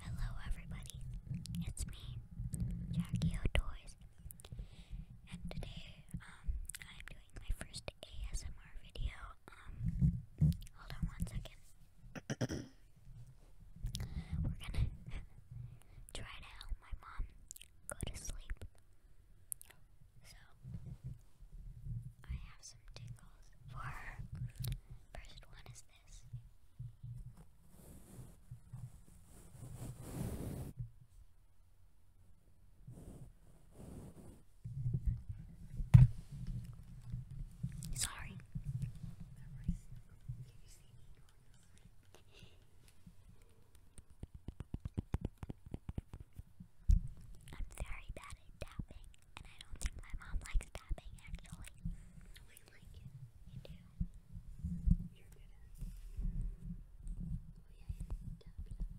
Hello, everybody. It's me, Jackie O Toys, and today um, I'm doing my first ASMR video. Um, hold on one second. We're gonna try to help my mom go to sleep. So I have some tingles for her. First one is this. Sorry. I'm very bad at tapping and I don't think my mom likes tapping actually. No, like it. You do. You're good at it. I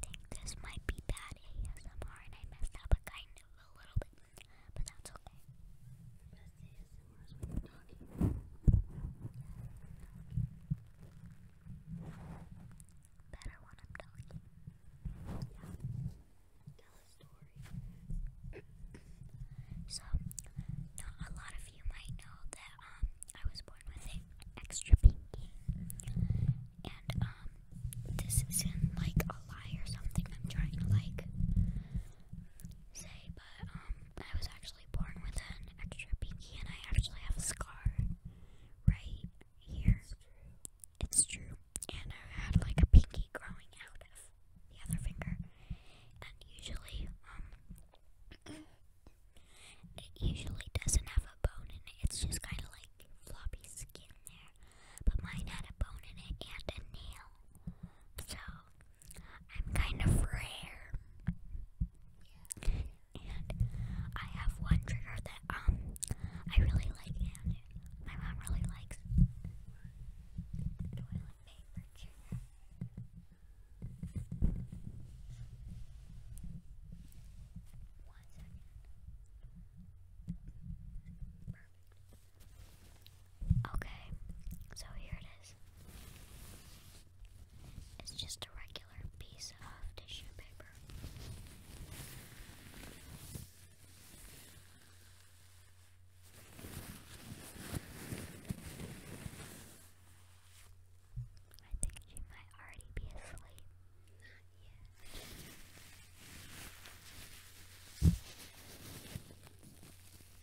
think this might be bad ASMR and I messed up a kind of a little stupid, but that's okay. Better when I'm talking. Yeah. Tell a story. so, a lot of you might know that um I was born with an extra pinky. And um this isn't like a lie or something. I'm trying to like say but um, I was actually born with an extra pinky, and I actually have a scar right here. It's true. And I had like a pinky growing out of the other finger, and usually, um, it usually doesn't have a bone in it. It's just kind of like floppy skin there. But mine had a bone in it and a nail, so I'm kind of rare. And I have one trigger that um I really like and my mom really likes toilet paper trigger. One second. Perfect. Okay, so here it is. It's just a regular piece of tissue paper. I think she might already be asleep. Not yet.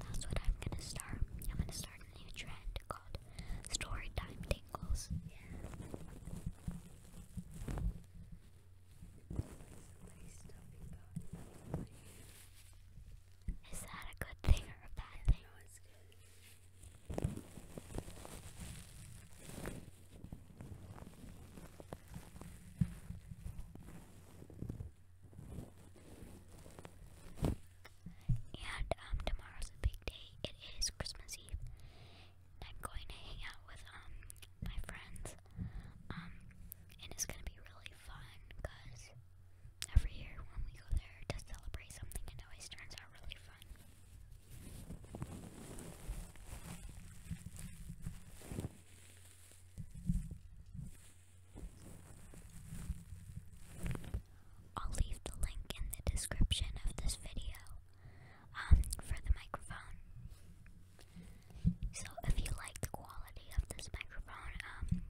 That's what I'm gonna start. I'm gonna start a new trend called story time tingles. Is that a good thing or a bad thing? And um, tomorrow's a big day. It is Christmas Eve. And I'm going to hang out with um my friends. Um, and it's gonna be really fun because every year when we go there to celebrate something, it always turns out really fun. I'll leave the link in the description of this video um, for the microphone. So if you like the quality of this microphone, um,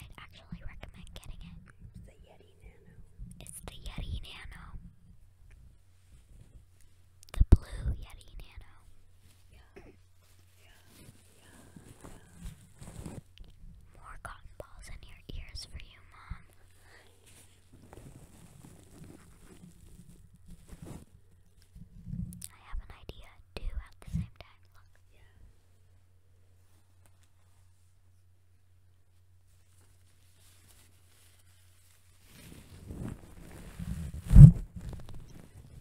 I'd actually recommend getting it. It's the Yeti Nano. It's the Yeti Nano. The blue Yeti Nano. Yeah, More cotton balls in your ears for you, Mom. I have an idea, too, at the same time.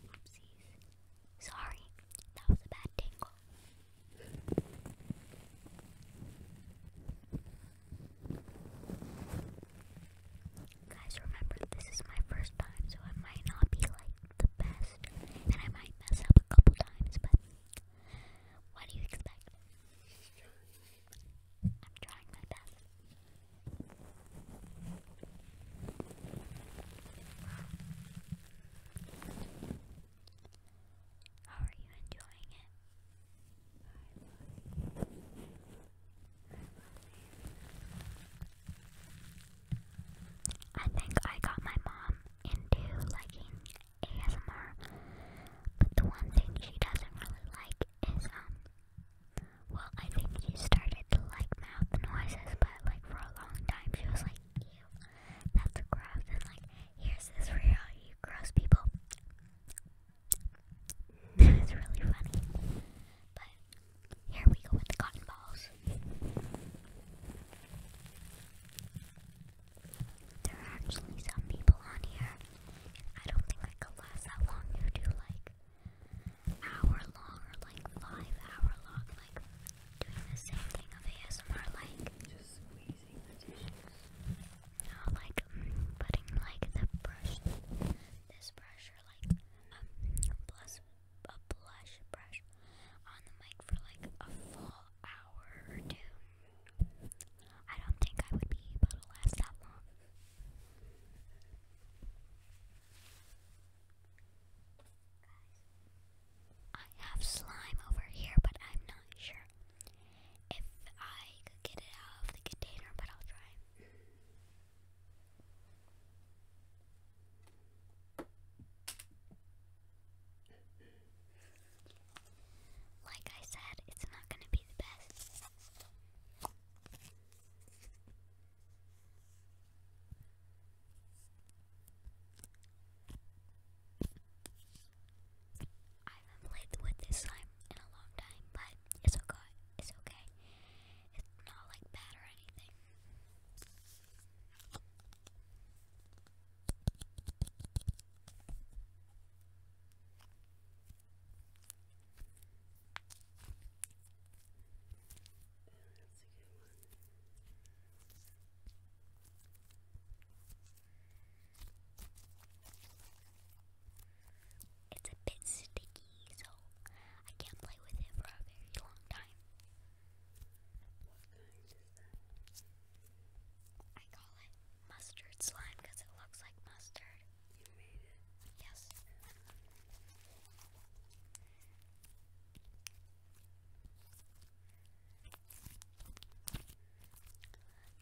Oopsies. Sorry, that was a bad tingle. Guys, remember this is my first time, so I might not be like the best, and I might mess up a couple times, but what do you expect? I'm trying my best. How are you enjoying it? I think I got my mom into liking ASMR, but the one thing she doesn't really like is, um, well, I think she started to like mouth noises, but, like, for a long time she was like, that's a and like, here's this for gross people. That is really funny. But here we go with the cotton balls. There are actually some people on here. I don't think I could last that long. You do like hour long or like five hour long. Like doing the same thing of ASMR, like just squeezing the tissues. No, like mm, putting like the brush, this brush, or like um, plus a blush brush on the mic for like a full hour or I don't think I would be able to last that long. I have slime over here, but I'm not sure if I could get it out of the container, but I'll try. Like I said, it's not going to be the best. I haven't played with this slime in a long time, but it's okay. It's okay. It's not like bad or anything. It's a bit sticky, so I can't play with it for a very long time. I call it mustard slime because it looks like mustard. You made it? Yes.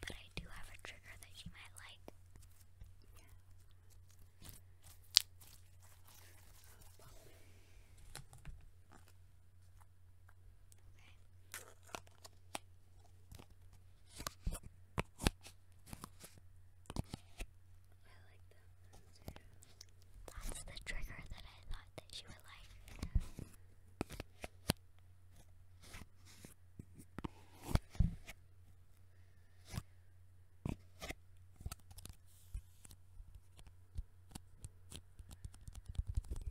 But I do have a trigger that you might like. Okay. That's the trigger that I thought that you would like. You're putting everybody else to sleep, but you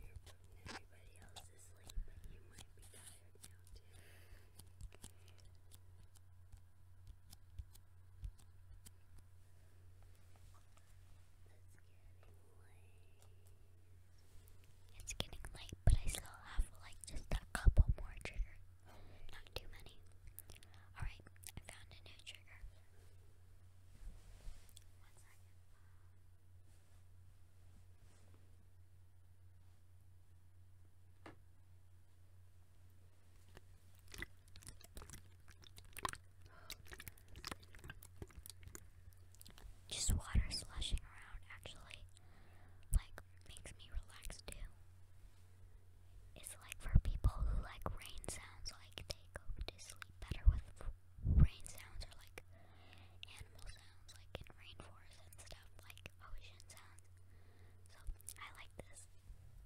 might be tired now too. It's getting late, but I still have like just a couple more triggers. Not too many. Alright, I found a new trigger. Just water slushing around actually like makes me relax too. It's like for people who like rain sounds, like they go to sleep better with rain sounds or like animal sounds, like in and stuff, like ocean sounds. So I like this.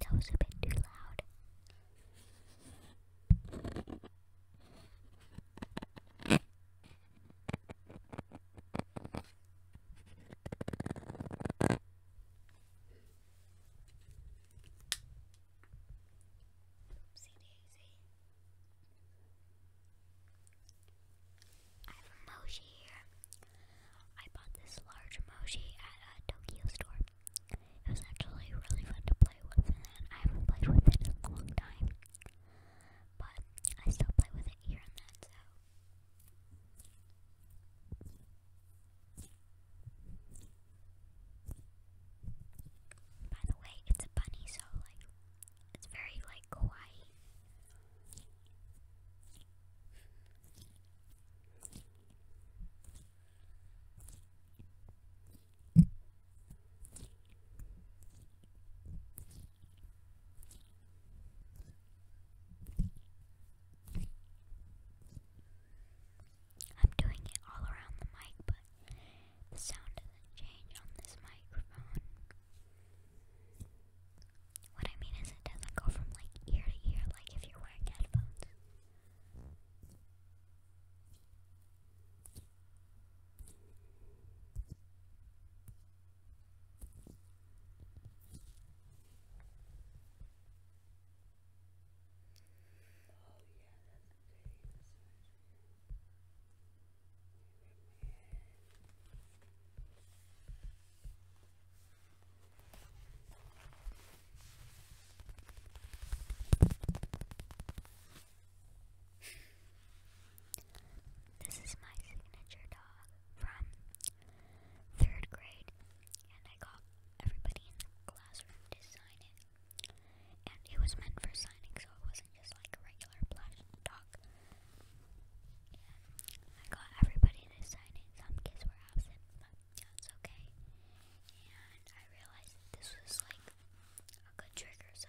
That was a bit too loud. I have a mochi here. I bought this large mochi at a Tokyo store. It was actually really fun to play with, and I haven't played with it in a long time. But I still play with it here and then, so. By the way, it's a bunny, so like it's very like quiet. I'm doing it all around the mic, but the sound doesn't change on this microphone. What I mean is it doesn't go from like ear to ear like if you're wearing headphones. Oh yeah, this is my signature dog from third grade, and I got everybody in the classroom to sign it. And it was meant for signing, so it wasn't just like a regular plush dog. I got everybody to sign it. Some kids were absent, but that's okay. And I realized this was like a good trigger, so.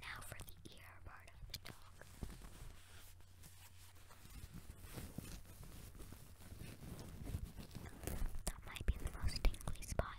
Now for the ear part of the dog. That might be the most tingly spot.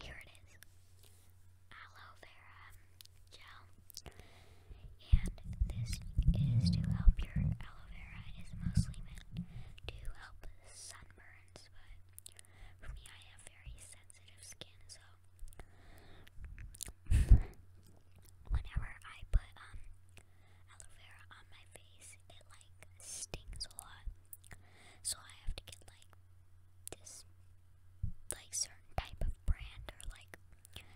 Here it is. Aloe vera gel. And this is to help your aloe vera is mostly meant to help sunburns, but for me I have very sensitive skin, so whenever I put um, aloe vera on my face, it like stings a lot. So I have to get like this like certain type of brand or like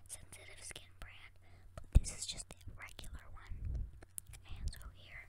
sensitive skin brand. But this is just the regular one. And so here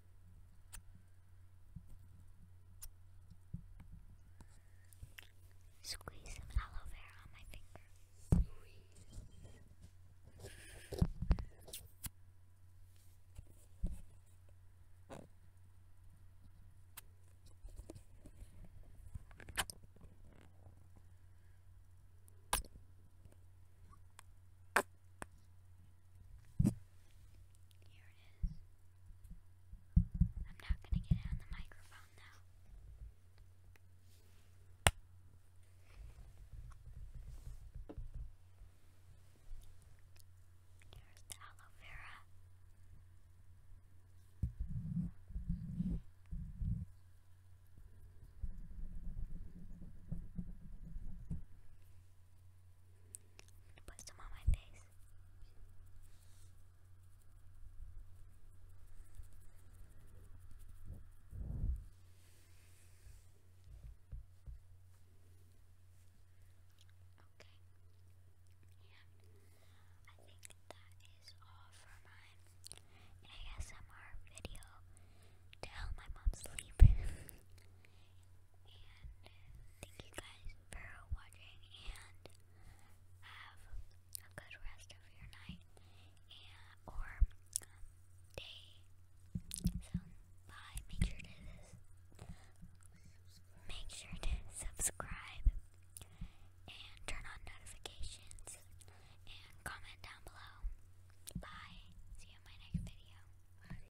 Squeeze some aloe vera on my finger. Here it is. I'm not going to get it on the microphone now. Here's the aloe vera. Put some on my face. Okay. And I think that is all for my ASMR video to my mom sleep. And thank you guys for watching and have a good rest of your night and or day. So bye. Make sure to make sure to subscribe and turn on notifications and comment down below. Bye. See you in my next video.